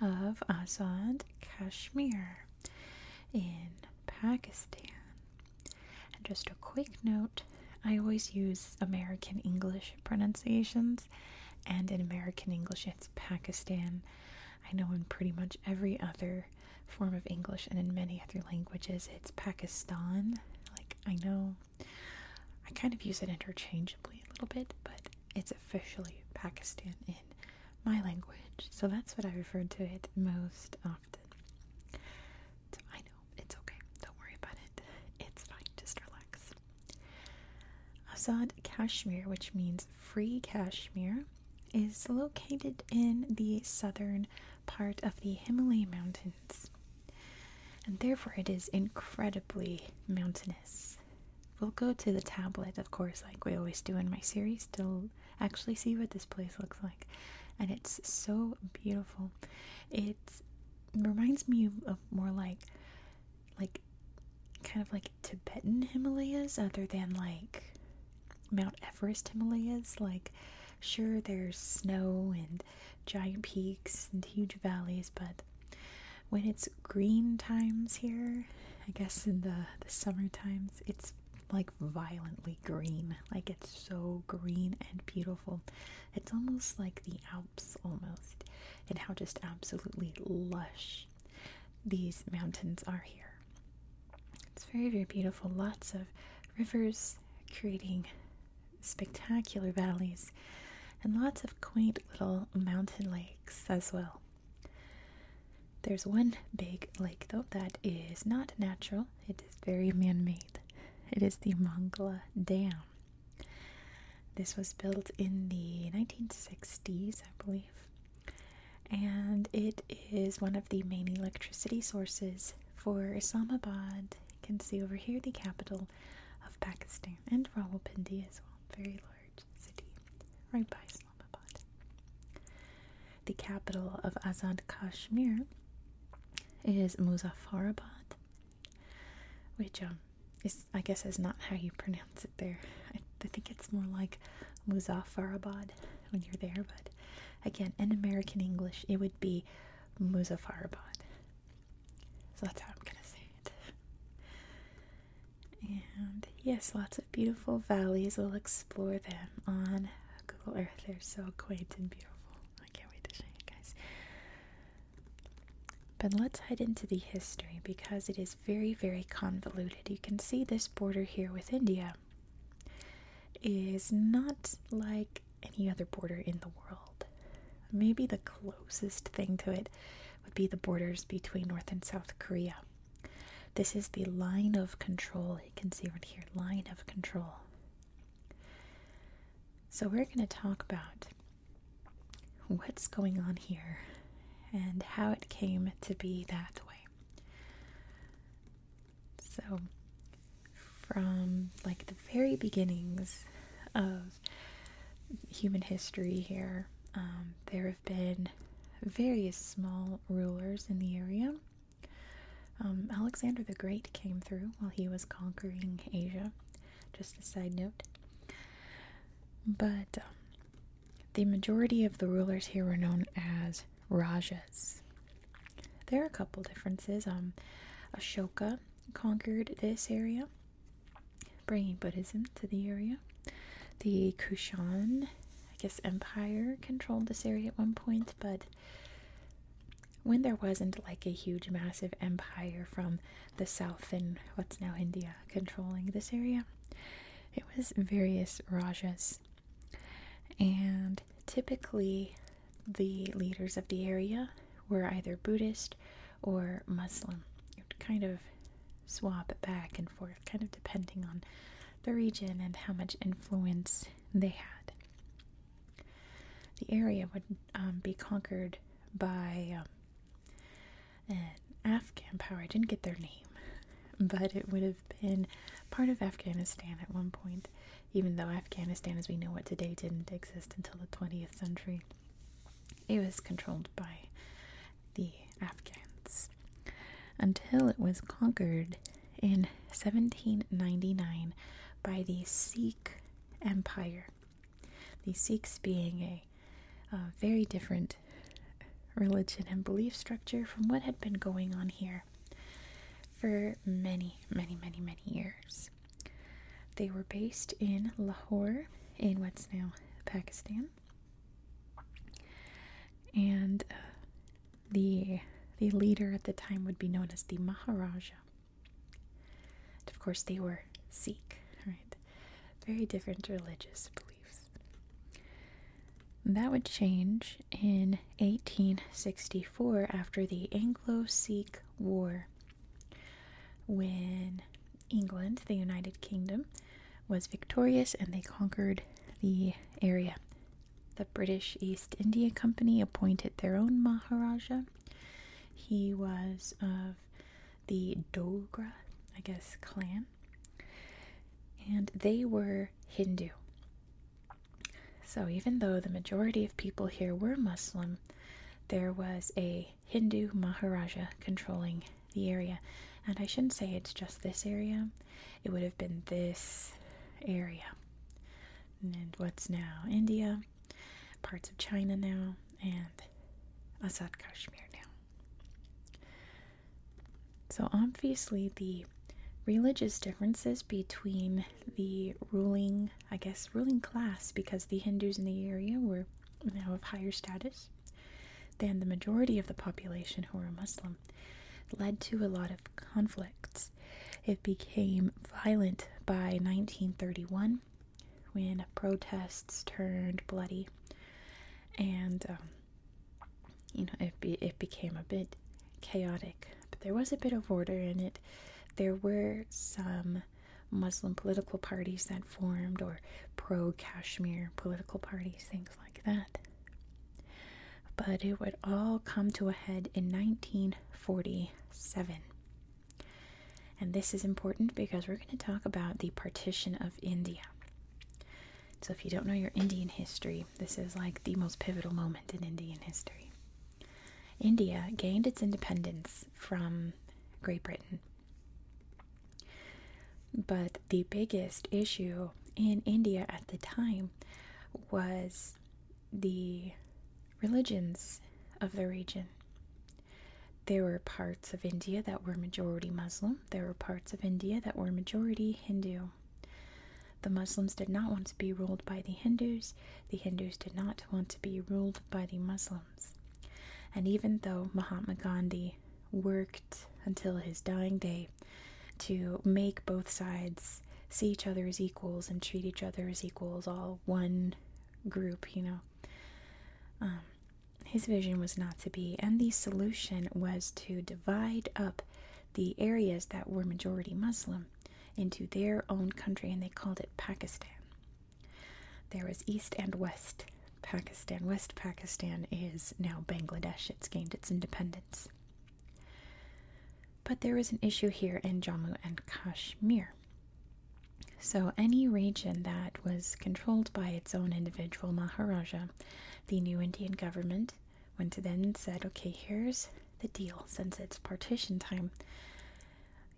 of Azad Kashmir in Pakistan. And just a quick note I always use American English pronunciations, and in American English, it's Pakistan. I know in pretty much every other form of English and in many other languages, it's Pakistan. Like, I know I kind of use it interchangeably a little bit, but it's officially Pakistan in my language, so that's what I refer to it most often. I know it's okay, don't worry about it. It's fine, just relax. Azad Kashmir, which means free Kashmir, is located in the southern part of the Himalaya Mountains and therefore it is incredibly mountainous. We'll go to the tablet, of course, like we always do in my series, to actually see what this place looks like. And it's so beautiful. It reminds me of more like, like, kind of like Tibetan Himalayas, other than like Mount Everest Himalayas. Like, sure, there's snow and giant peaks and huge valleys, but when it's green times here, I guess in the, the summer times, it's like violently green. Like it's so green and beautiful. It's almost like the Alps, almost, and how just absolutely lush these mountains are here. It's very, very beautiful. Lots of rivers creating spectacular valleys, and lots of quaint little mountain lakes as well. There's one big lake, though, that is not natural, it is very man made. It is the Mangla Dam. This was built in the 1960s, I believe, and it is one of the main electricity sources for Islamabad. You can see over here the capital of Pakistan and Rawalpindi as well, very large city right by Islamabad. The capital of Azad Kashmir is Muzaffarabad, which um, is I guess is not how you pronounce it there. I think it's more like Muzaffarabad when you're there, but again, in American English, it would be Muzaffarabad. So that's how I'm gonna say it. And yes, lots of beautiful valleys. We'll explore them on Google Earth. They're so quaint and beautiful. I can't wait to show you guys. But let's head into the history because it is very, very convoluted. You can see this border here with India is not like any other border in the world. Maybe the closest thing to it would be the borders between North and South Korea. This is the line of control. You can see right here line of control. So, we're going to talk about what's going on here and how it came to be that way. So, from like the very beginnings of human history here. Um, there have been various small rulers in the area. Um, Alexander the Great came through while he was conquering Asia, just a side note. But um, the majority of the rulers here were known as Rajas. There are a couple differences. Ashoka conquered this area, bringing Buddhism to the area. The Kushan, I guess, empire controlled this area at one point, but when there wasn't like a huge, massive empire from the south in what's now India controlling this area, it was various rajas. And typically, the leaders of the area were either Buddhist or Muslim. It would kind of swap back and forth, kind of depending on the region and how much influence they had. The area would um, be conquered by um, an Afghan power. I didn't get their name, but it would have been part of Afghanistan at one point, even though Afghanistan, as we know it today, didn't exist until the 20th century. It was controlled by the Afghans until it was conquered in 1799 by the Sikh Empire. The Sikhs being a, uh, very different religion and belief structure from what had been going on here for many, many, many, many years. They were based in Lahore, in what's now Pakistan, and uh, the the leader at the time would be known as the Maharaja. of course, they were Sikh, right? Very different religious beliefs. That would change in 1864 after the Anglo Sikh War when England, the United Kingdom, was victorious and they conquered the area. The British East India Company appointed their own Maharaja. He was of the Dogra, I guess, clan, and they were Hindu. So, even though the majority of people here were Muslim, there was a Hindu Maharaja controlling the area. And I shouldn't say it's just this area, it would have been this area. And what's now India, parts of China now, and Azad Kashmir now. So obviously, the religious differences between the ruling, I guess, ruling class because the Hindus in the area were now of higher status than the majority of the population who were Muslim, led to a lot of conflicts. It became violent by 1931 when protests turned bloody and um, you know it, it became a bit chaotic but there was a bit of order in it. There were some Muslim political parties that formed, or pro Kashmir political parties, things like that. But it would all come to a head in 1947. And this is important because we're going to talk about the partition of India. So, if you don't know your Indian history, this is like the most pivotal moment in Indian history. India gained its independence from Great Britain. But the biggest issue in India at the time was the religions of the region. There were parts of India that were majority Muslim, there were parts of India that were majority Hindu. The Muslims did not want to be ruled by the Hindus, the Hindus did not want to be ruled by the Muslims. And even though Mahatma Gandhi worked until his dying day to make both sides see each other as equals and treat each other as equals, all one group, you know. Um, his vision was not to be, and the solution was to divide up the areas that were majority Muslim into their own country and they called it Pakistan. There was East and West Pakistan. West Pakistan is now Bangladesh, it's gained its independence. But there was an issue here in Jammu and Kashmir. So, any region that was controlled by its own individual Maharaja, the new Indian government went to then and said, okay, here's the deal since it's partition time.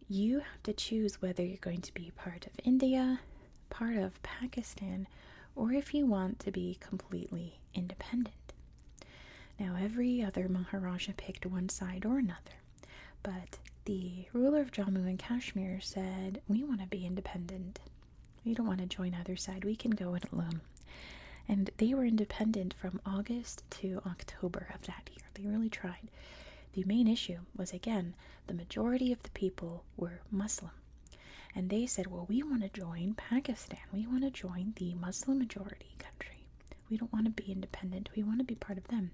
You have to choose whether you're going to be part of India, part of Pakistan, or if you want to be completely independent. Now, every other Maharaja picked one side or another, but the ruler of Jammu and Kashmir said, We want to be independent. We don't want to join either side. We can go it alone and they were independent from August to October of that year. They really tried. The main issue was again the majority of the people were Muslim. And they said, well, we want to join Pakistan. We want to join the Muslim majority country. We don't want to be independent. We want to be part of them.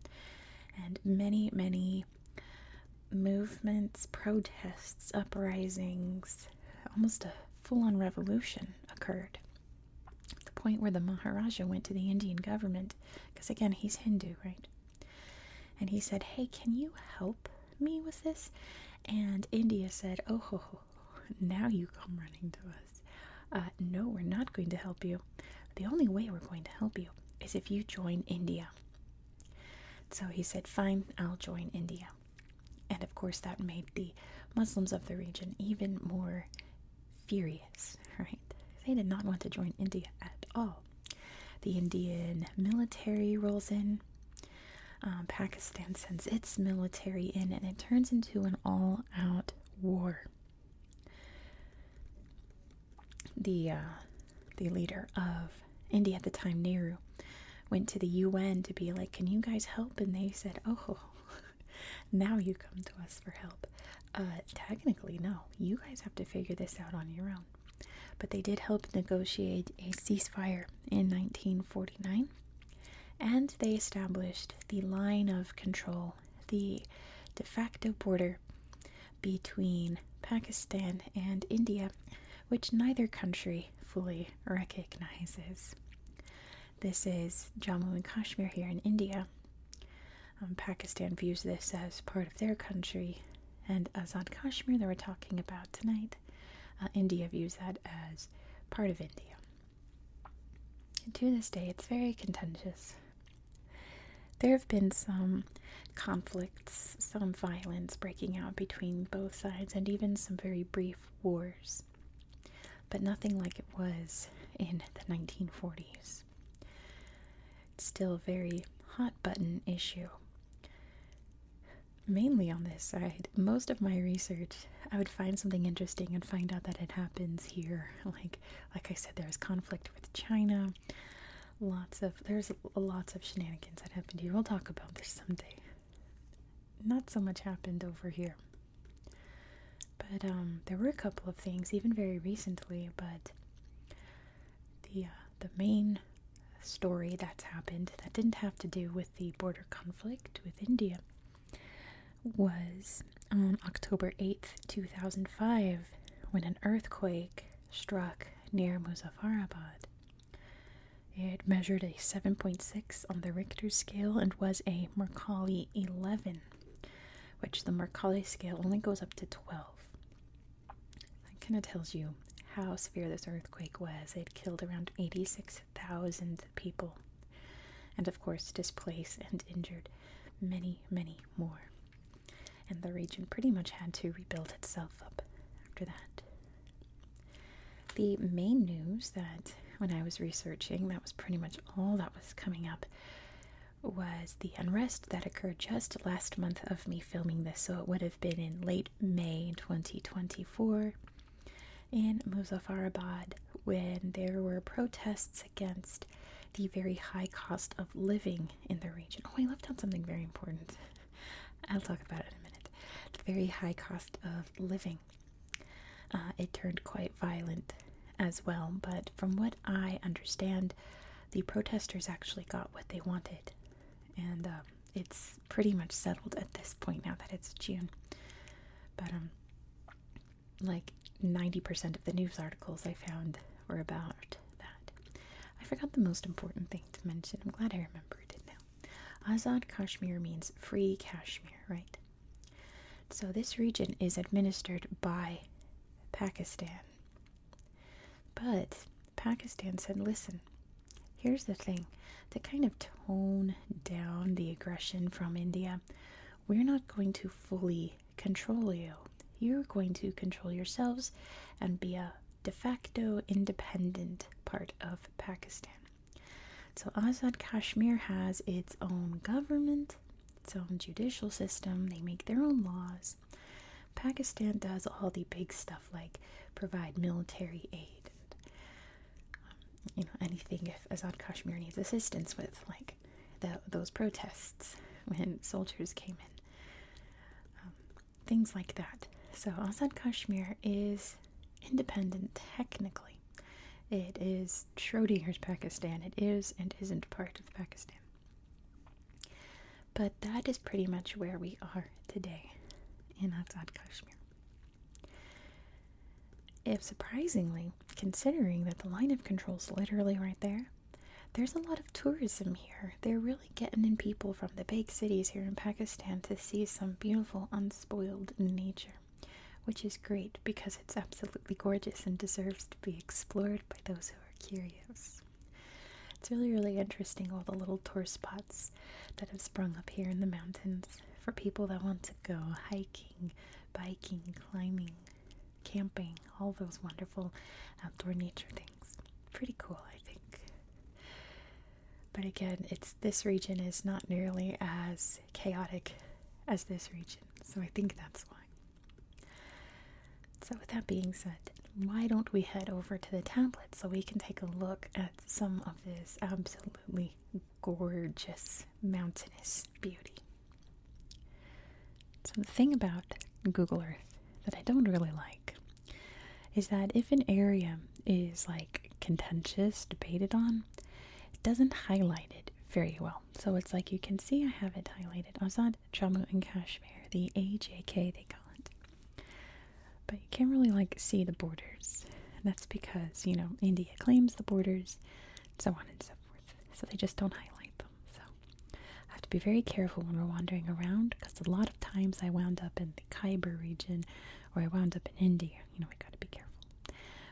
And many, many movements, protests, uprisings, almost a full on revolution occurred the point where the Maharaja went to the Indian government, because again, he's Hindu, right? And he said, Hey, can you help me with this? And India said, Oh, now you come running to us. Uh, no, we're not going to help you. The only way we're going to help you is if you join India. So he said, Fine, I'll join India. And of course, that made the Muslims of the region even more furious, right? They did not want to join India at all. The Indian military rolls in. Um, Pakistan sends its military in, and it turns into an all out war. The, uh, the leader of India at the time, Nehru, went to the UN to be like, Can you guys help? And they said, Oh, now you come to us for help. Uh, technically, no. You guys have to figure this out on your own. But they did help negotiate a ceasefire in 1949, and they established the line of control, the de facto border between Pakistan and India, which neither country fully recognizes. This is Jammu and Kashmir here in India. Um, Pakistan views this as part of their country, and Azad Kashmir that we're talking about tonight, uh, India views that as part of India. And to this day, it's very contentious. There have been some conflicts, some violence breaking out between both sides, and even some very brief wars but nothing like it was in the 1940s. It's still a very hot button issue. Mainly on this side, most of my research, I would find something interesting and find out that it happens here. Like, like I said, there's conflict with China. Lots of there's lots of shenanigans that happen here. We'll talk about this someday not so much happened over here. But um, there were a couple of things, even very recently. But the uh, the main story that's happened that didn't have to do with the border conflict with India was on October eighth, two thousand five, when an earthquake struck near Muzaffarabad. It measured a 7.6 on the Richter scale and was a Mercalli 11, which the Mercalli scale only goes up to 12. That kind of tells you how severe this earthquake was. It killed around 86,000 people and, of course, displaced and injured many, many more. And the region pretty much had to rebuild itself up after that the main news that when I was researching, that was pretty much all that was coming up, was the unrest that occurred just last month of me filming this. So it would have been in late May 2024 in Musafarabad, when there were protests against the very high cost of living in the region. Oh, I left out something very important. I'll talk about it in a minute. The very high cost of living. Uh, it turned quite violent as well, but from what I understand, the protesters actually got what they wanted, and um, it's pretty much settled at this point now that it's June. But um, like ninety percent of the news articles I found were about that. I forgot the most important thing to mention. I'm glad I remembered it now. Azad Kashmir means free Kashmir, right? So, this region is administered by Pakistan. But Pakistan said, listen, here's the thing to kind of tone down the aggression from India, we're not going to fully control you. You're going to control yourselves and be a de facto independent part of Pakistan. So Azad Kashmir has its own government, its own judicial system, they make their own laws. Pakistan does all the big stuff like provide military aid and um, you know anything if Azad Kashmir needs assistance with like those protests when soldiers came in. Um, things like that. So Azad Kashmir is independent technically. It is Schrodinger's Pakistan. It is and isn't part of Pakistan. But that is pretty much where we are today in Azad Kashmir. If surprisingly, considering that the line of control is literally right there, there's a lot of tourism here. They're really getting in people from the big cities here in Pakistan to see some beautiful, unspoiled nature which is great because it's absolutely gorgeous and deserves to be explored by those who are curious. It's really, really interesting all the little tour spots that have sprung up here in the mountains for people that want to go hiking, biking, climbing, camping, all those wonderful outdoor nature things. Pretty cool, I think. But again, it's this region is not nearly as chaotic as this region. So I think that's why. So, with that being said, why don't we head over to the tablet so we can take a look at some of this absolutely gorgeous mountainous beauty? So, the thing about Google Earth that I don't really like is that if an area is like contentious, debated on, it doesn't highlight it very well. So it's like you can see I have it highlighted. Azad, Jammu and Kashmir, the AJK they call it. But you can't really like see the borders. And that's because, you know, India claims the borders, so on and so forth. So they just don't highlight them. So I have to be very careful when we're wandering around because a lot of times I wound up in the Khyber region or I wound up in India you know, I gotta be careful.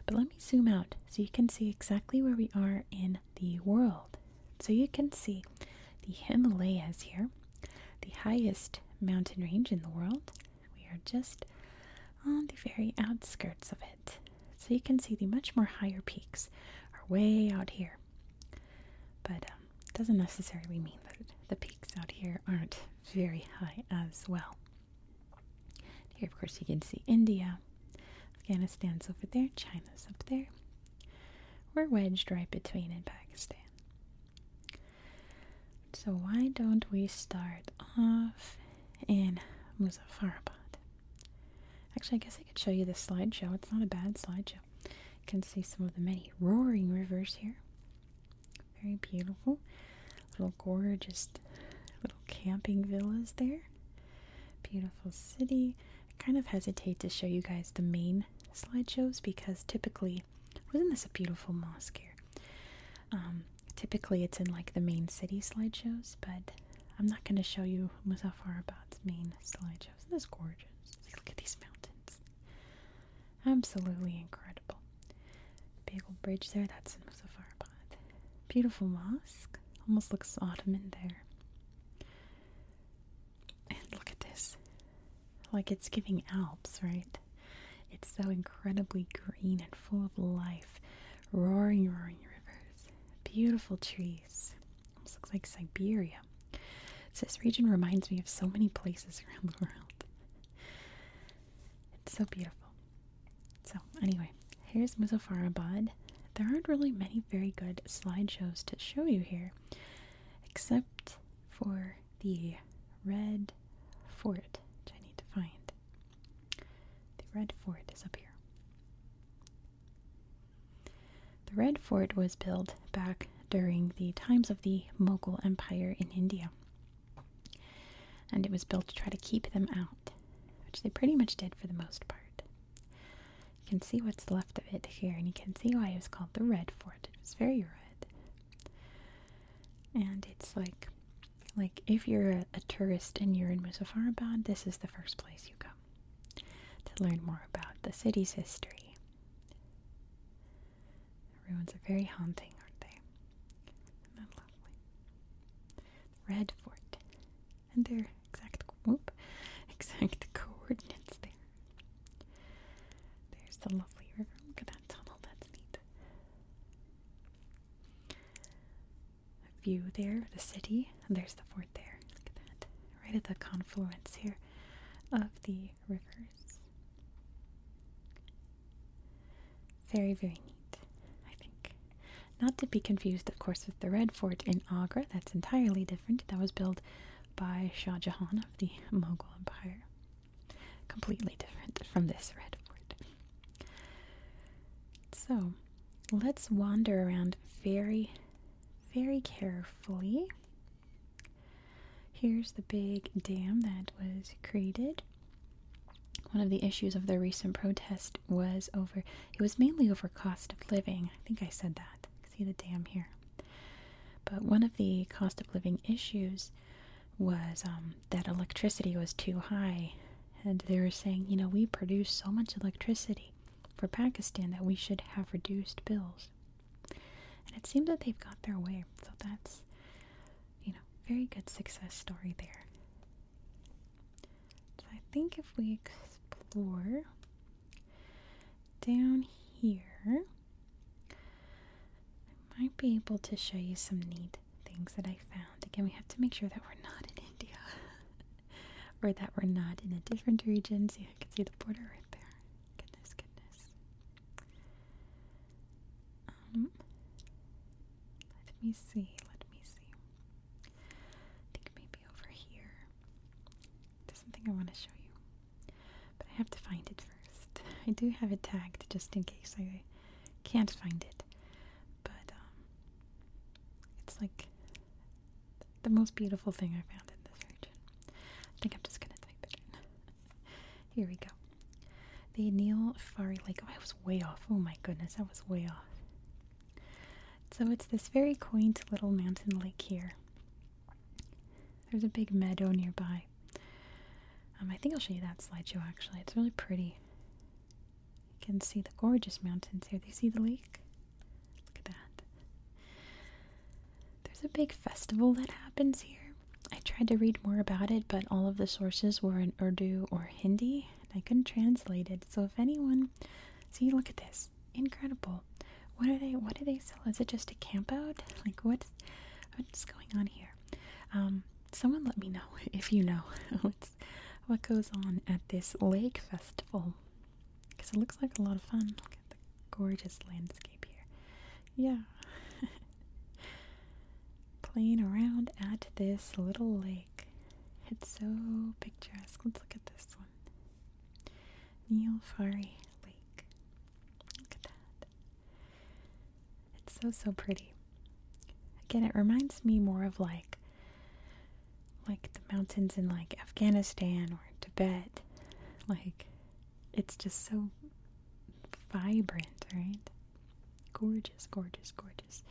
But let me zoom out so you can see exactly where we are in the world. So you can see the Himalayas here, the highest mountain range in the world. We are just on the very outskirts of it. So you can see the much more higher peaks are way out here. But um, doesn't necessarily mean that the peaks out here aren't very high as well. Here, of course, you can see India. Afghanistan's over there, China's up there. We're wedged right between in Pakistan. So, why don't we start off in Muzaffarabad? Actually, I guess I could show you this slideshow. It's not a bad slideshow. You can see some of the many roaring rivers here. Very beautiful. Little gorgeous little camping villas there. Beautiful city. I kind of hesitate to show you guys the main slideshows because typically, wasn't this a beautiful mosque here? Um, typically it's in like the main city slideshows, but I'm not going to show you Muzaffarabad's main slideshows. Isn't this gorgeous? Look at these mountains. Absolutely incredible. Big old bridge there, that's in Muzaffarabad. Beautiful mosque. Almost looks Ottoman there. And look at this. Like it's giving Alps, right? It's so incredibly green and full of life. Roaring, roaring rivers. Beautiful trees. Almost looks like Siberia. So this region reminds me of so many places around the world. It's so beautiful. So anyway, here's Muzaffarabad. There aren't really many very good slideshows to show you here, except for the red fort, which I need to find. The red fort is up here. The red fort was built back during the times of the Mughal Empire in India. And it was built to try to keep them out, which they pretty much did for the most part. You can see what's left of it here, and you can see why it was called the Red Fort. It was very red. And it's like, like if you're a, tourist and you're in Musafarabad, this is the first place you go to learn more about the city's history. Ruins are very haunting, aren't they? that lovely? Red Fort. And their exact whoop, exact coordinates there. There's the lovely river. Look at that tunnel. That's neat. A view there, the city. And there's the fort there. Look at that. Right at the confluence here of the rivers. Very, very neat, I think. Not to be confused, of course, with the Red Fort in Agra. That's entirely different. That was built by Shah Jahan of the Mughal Empire. Completely different from this Red Fort. So, let's wander around very, very carefully. Here's the big dam that was created. One of the issues of the recent protest was over, it was mainly over cost of living. I think I said that. See the dam here. But one of the cost of living issues was um, that electricity was too high. And they were saying, you know, we produce so much electricity for Pakistan that we should have reduced bills. And it seems that they've got their way. So that's you know, very good success story there. I think if we explore down here, I might be able to show you some neat things that I found. Again, we have to make sure that we're not in India or that we're not in a different region. See, I can see the border right there. Goodness, goodness. Um, let me see, let me see. I think maybe over here. There's something I want to show you. But I have to find it first. I do have it tagged just in case I can't find it. But um, it's like the most beautiful thing I found in this region. I think I'm just gonna type it in. Here we go. The Neil Fari Lake. Oh, I was way off. Oh my goodness, I was way off. So it's this very quaint little mountain lake here. There's a big meadow nearby. Um, I think I'll show you that slideshow actually. It's really pretty. You can see the gorgeous mountains here. Do you see the lake? Look at that. There's a big festival that happens here. I tried to read more about it, but all of the sources were in Urdu or Hindi, and I couldn't translate it. So if anyone see, look at this, incredible. What are they? What do they sell? Is it just a campout? Like what's what's going on here? Um, someone let me know if you know what's what goes on at this lake festival because it looks like a lot of fun. Look at the gorgeous landscape here yeah. Playing around at this little lake. It's so picturesque. Let's look at this one. Neilfari Lake. Look at that. It's so so pretty. Again, it reminds me more of like like the mountains in like Afghanistan or Tibet. Like it's just so vibrant, right? Gorgeous, gorgeous, gorgeous.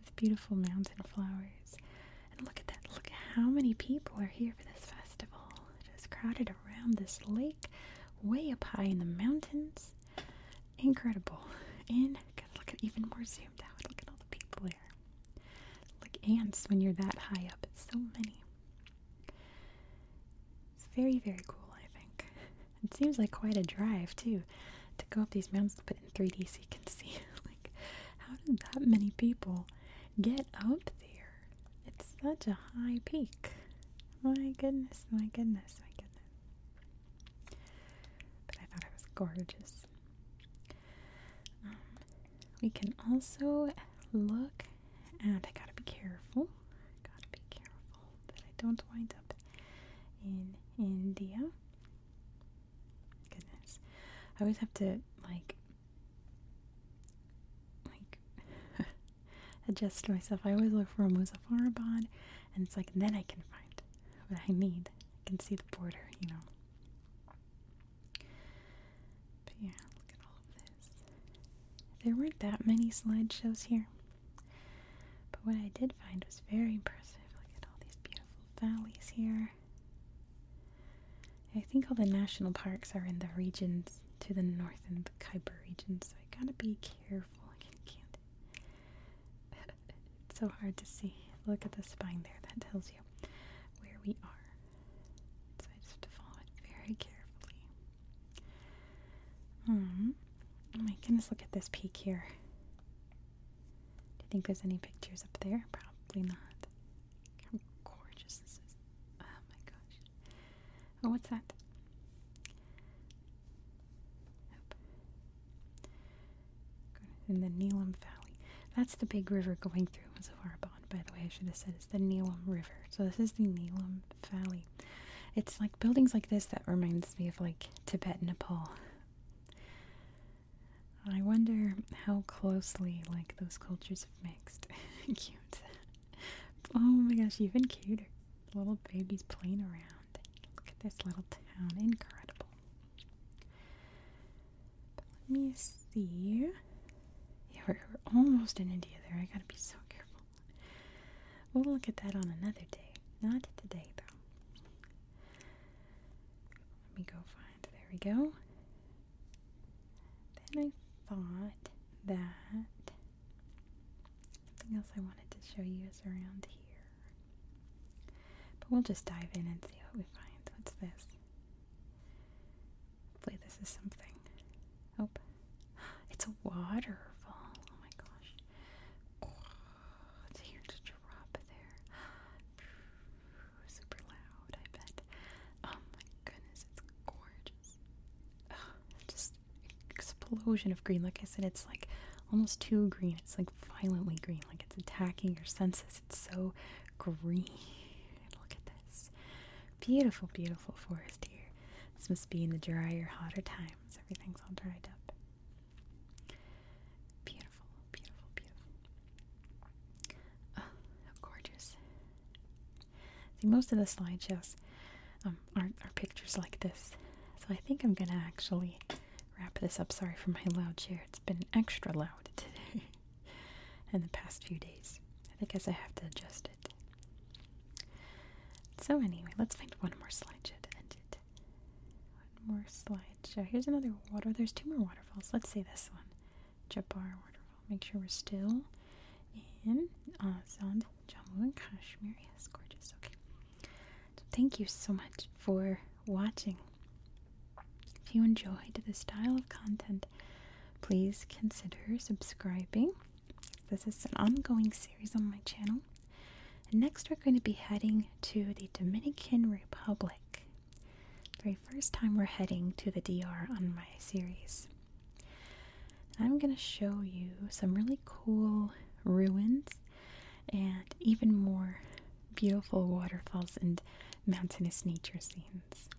With beautiful mountain flowers. And look at that. Look at how many people are here for this festival. It is crowded around this lake, way up high in the mountains. Incredible. And God, look at even more zoomed out. Look at all the people there. Like ants when you're that high up. It's so many. It's very, very cool, I think. It seems like quite a drive, too, to go up these mountains, but in 3D you can see, like, how did that many people get up there? It's such a high peak. My goodness, my goodness, my goodness. But I thought it was gorgeous. Um, we can also look and I gotta be careful. gotta be careful that I don't wind up in India. Goodness, I always have to like like adjust myself. I always look for a Muzaffarabad, and it's like then I can find what I need. I can see the border, you know. But yeah, look at all of this. There weren't that many slideshows here. But what I did find was very impressive. Look at all these beautiful valleys here. I think all the national parks are in the regions to the north and the Kuiper region, so I gotta be careful. it's so hard to see. Look at the spine there, that tells you where we are. So I just have to follow it very carefully. Hmm. Oh my goodness, look at this peak here. Do you think there's any pictures up there? Probably not. how gorgeous this is. Oh my gosh. Oh, what's that? in the Neelum Valley. That's the big river going through Was it Mazavarban, by the way. I should have said it's the Neelum River. So this is the Neelum valley. It's like buildings like this that reminds me of like Tibet, Nepal. I wonder how closely like those cultures have mixed. Cute. Oh my gosh, even cute Little babies playing around. Look at this little town. Incredible. let me see. Yeah, we're, almost in India there. I gotta be so careful. We'll look at that on another day. Not today, though. Let me go find. There we go. Then I thought that something else I wanted to show you is around here. But we'll just dive in and see what we find. What's this? Hopefully this is something. Oh, it's a waterfall. Oh my gosh. it's here to drop there. Super loud, I bet. Oh my goodness, it's gorgeous. just explosion of green. Like I said, it's like almost too green. It's like violently green, like it's attacking your senses. It's so green. Look at this. Beautiful, beautiful forest here. This must be in the drier, hotter times. Everything's all dried up. Beautiful, beautiful, beautiful. Oh, how gorgeous. See, most of the slideshows um, are, are pictures like this. So I think I'm going to actually wrap this up. Sorry for my loud chair. It's been extra loud today in the past few days. I think as I have to adjust so anyway, let's find one more slideshow One more slideshow. Here's another water. There's two more waterfalls. Let's see this one. Jabbar waterfall. Make sure we're still in Azad, Jammu and Kashmir. Yes, gorgeous. Okay. thank you so much for watching. If you enjoyed this style of content, please consider subscribing. This is an ongoing series on my channel. next, we're going to be heading to the Dominican Republic. very first time we're heading to the DR on my series. I'm going to show you some really cool ruins and even more beautiful waterfalls and mountainous nature scenes.